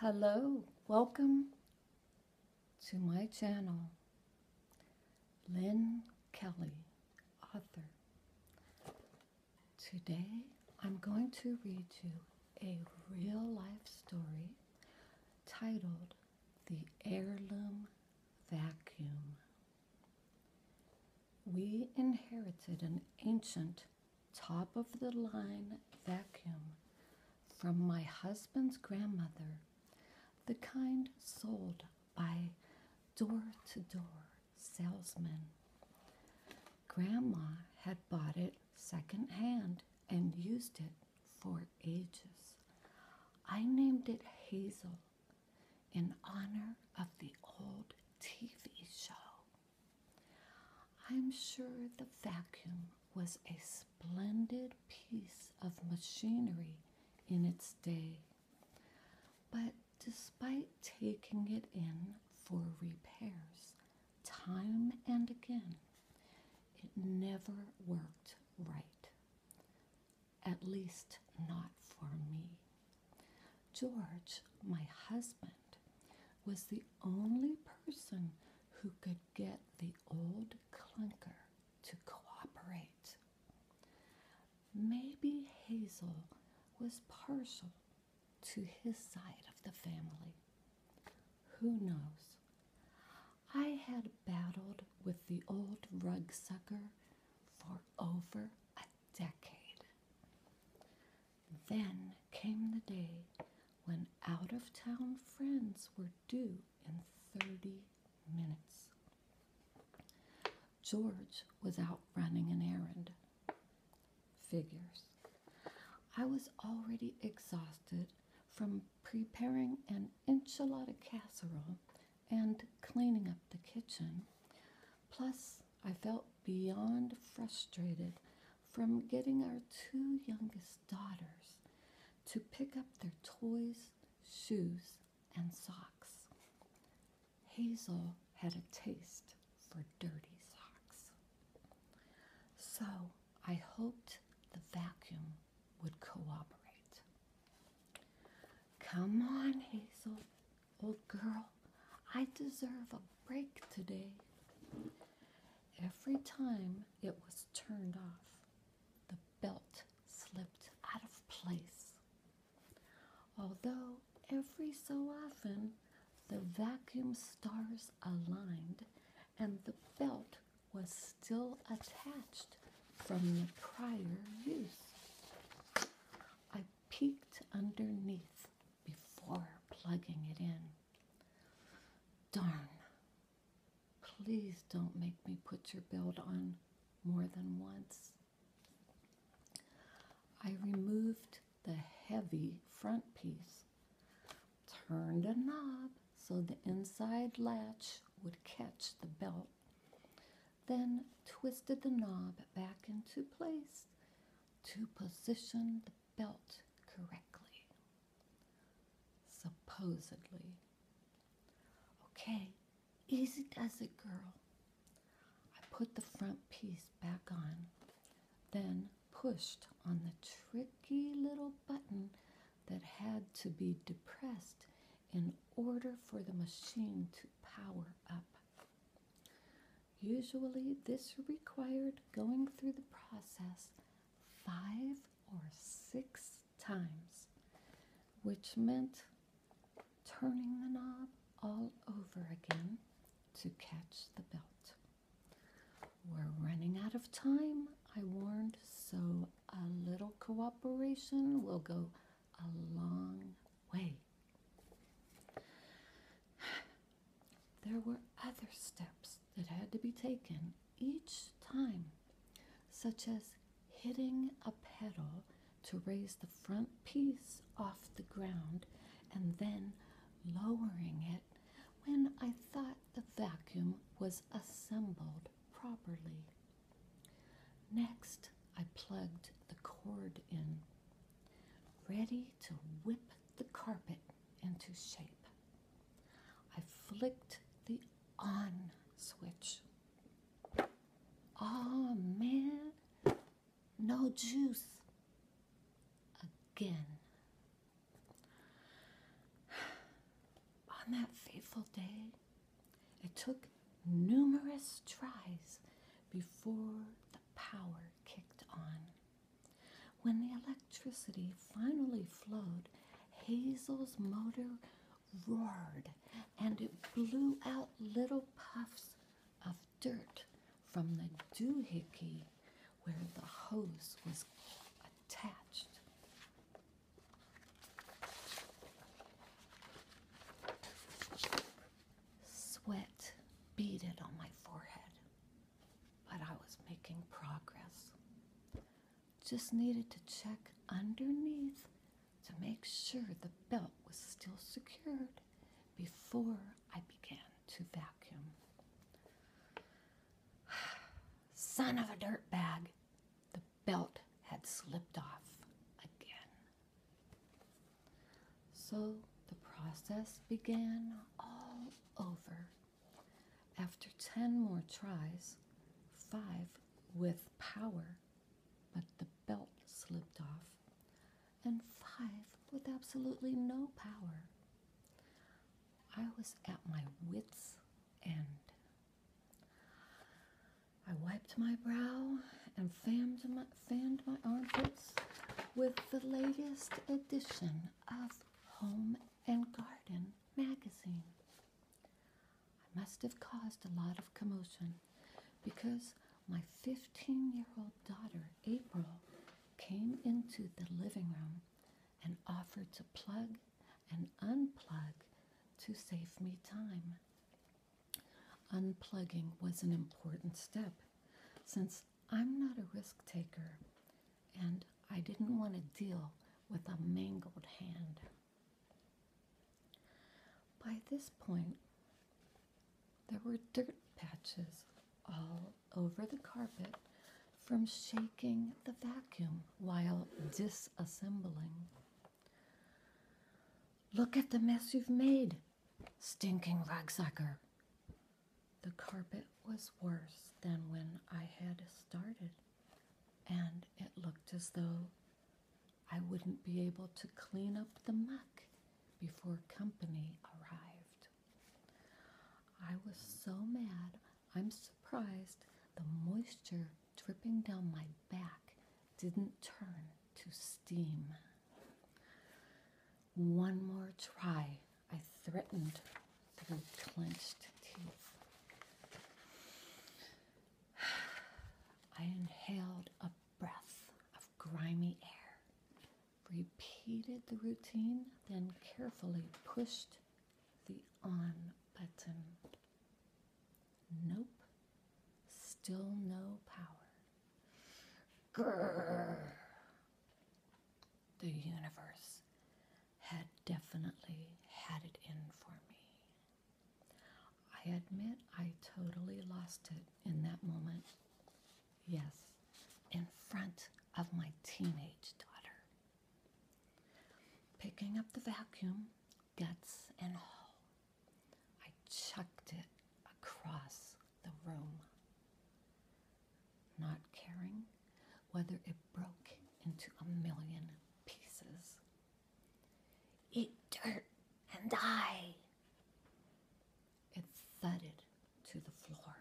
Hello, welcome to my channel, Lynn Kelly, author. Today I'm going to read you a real life story titled The Heirloom Vacuum. We inherited an ancient top of the line vacuum from my husband's grandmother, the kind sold by door to door salesmen. Grandma had bought it secondhand and used it for ages. I named it Hazel in honor of the old TV show. I'm sure the vacuum was a splendid piece of machinery in its day, but despite taking it in for repairs time and again, it never worked right. At least, not for me. George, my husband, was the only person who could get the old clunker to cooperate. Maybe Hazel was partial to his side of the family. Who knows? I had battled with the old rug sucker for over a decade. Then came the day when out of town friends were due in 30 minutes. George was out running an errand. Figures. I was already exhausted from preparing an enchilada casserole and cleaning up the kitchen. Plus, I felt beyond frustrated from getting our two youngest daughters to pick up their toys, shoes, and socks. Hazel had a taste for dirty socks. So I hoped the vacuum would cooperate. Come on, Hazel, Old oh, girl, I deserve a break today. Every time it was turned off, the belt slipped out of place. Although every so often the vacuum stars aligned and the belt was still attached from the prior use. I peeked underneath before plugging it in. Darn. Please don't make me put your belt on more than once. I removed the heavy front piece, turned a knob so the inside latch would catch the belt, then twisted the knob back into place to position the belt correctly. Supposedly. Okay, easy does it, girl. I put the front piece back on, then pushed on the tricky little button that had to be depressed in order for the machine to power up. Usually, this required going through the process five or six times, which meant turning the knob all over again to catch the belt. We're running out of time, I warned, so a little cooperation will go a long way. There were other steps that had to be taken each time, such as hitting a pedal to raise the front piece off the ground and then lowering it when I thought the vacuum was assembled properly. Next, I plugged the cord in, ready to whip the carpet into shape. I flicked the on switch. Oh man, no juice. Again, on that fateful day, it took numerous tries before the power kicked on. When the electricity finally flowed, Hazel's motor roared and it blew out little puffs of dirt from the doohickey where the hose was attached. Sweat beaded on my forehead, but I was making progress. Just needed to check underneath to make sure the belt was still secured before I began to vacuum. Son of a dirt bag, the belt had slipped off again. So the process began all over. After 10 more tries, five with power, but the belt slipped off, and five with absolutely no power. I was at my wits' end. I wiped my brow and fanned my, armpits with the latest edition of Home and Garden magazine. I must have caused a lot of commotion because my 15 year old daughter, April, came into the living room and offered to plug and unplug to save me time. Unplugging was an important step since I'm not a risk taker and I didn't want to deal with a mangled hand. By this point, there were dirt patches all over the carpet from shaking the vacuum while disassembling. Look at the mess you've made, stinking ragsacker. The carpet was worse than when I had started, and it looked as though I wouldn't be able to clean up the muck before company arrived. I was so mad, I'm surprised the moisture dripping down my back didn't turn to steam. One more try, I threatened through clenched teeth. I inhaled a breath of grimy air repeated the routine, then carefully pushed the on button. Nope, still no power. Grrr. The universe had definitely had it in for me. I admit I totally lost it in that moment. Yes, in front of my teenage daughter. Picking up the vacuum, guts and all, I chucked it across the room, not caring whether it broke into a million pieces. Eat dirt and die, it thudded to the floor,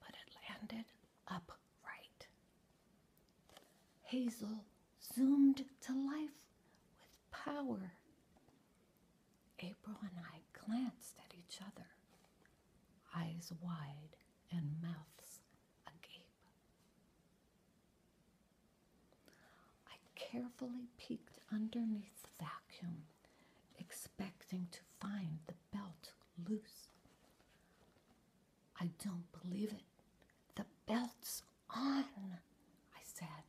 but it landed upright. Hazel zoomed to life with power. April and I glanced at each other, eyes wide and mouths agape. I carefully peeked underneath the vacuum, expecting to find the belt loose. I don't believe it. The belt's on, I said.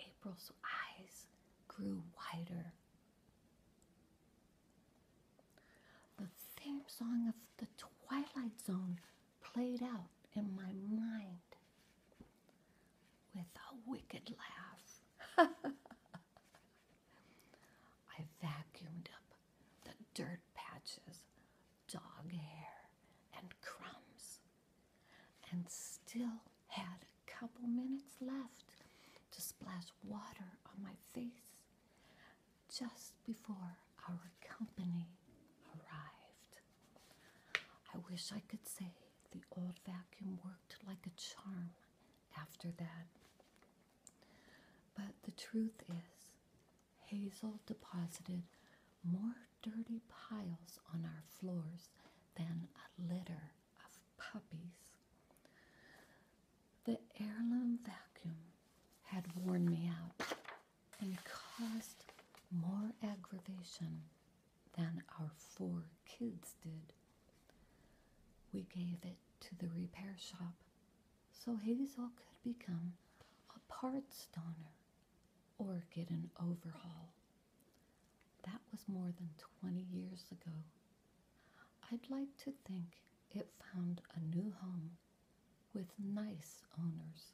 April's eyes grew wider. The theme song of the Twilight Zone played out in my mind with a wicked laugh. I vacuumed up the dirt patches, dog hair, and crumbs, and still had a couple minutes left to splash water on my face just before our company arrived. I wish I could say the old vacuum worked like a charm after that. But the truth is, Hazel deposited more dirty piles on our floors than a litter of puppies. The heirloom vacuum had worn me out and caused more aggravation than our four kids did. We gave it to the repair shop so Hazel could become a parts donor or get an overhaul. That was more than 20 years ago. I'd like to think it found a new home with nice owners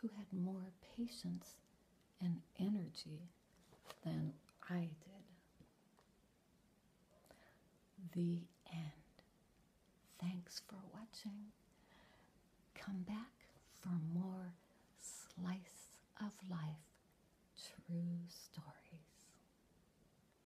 who had more patience and energy than I did. The end. Thanks for watching. Come back for more slice of life true stories.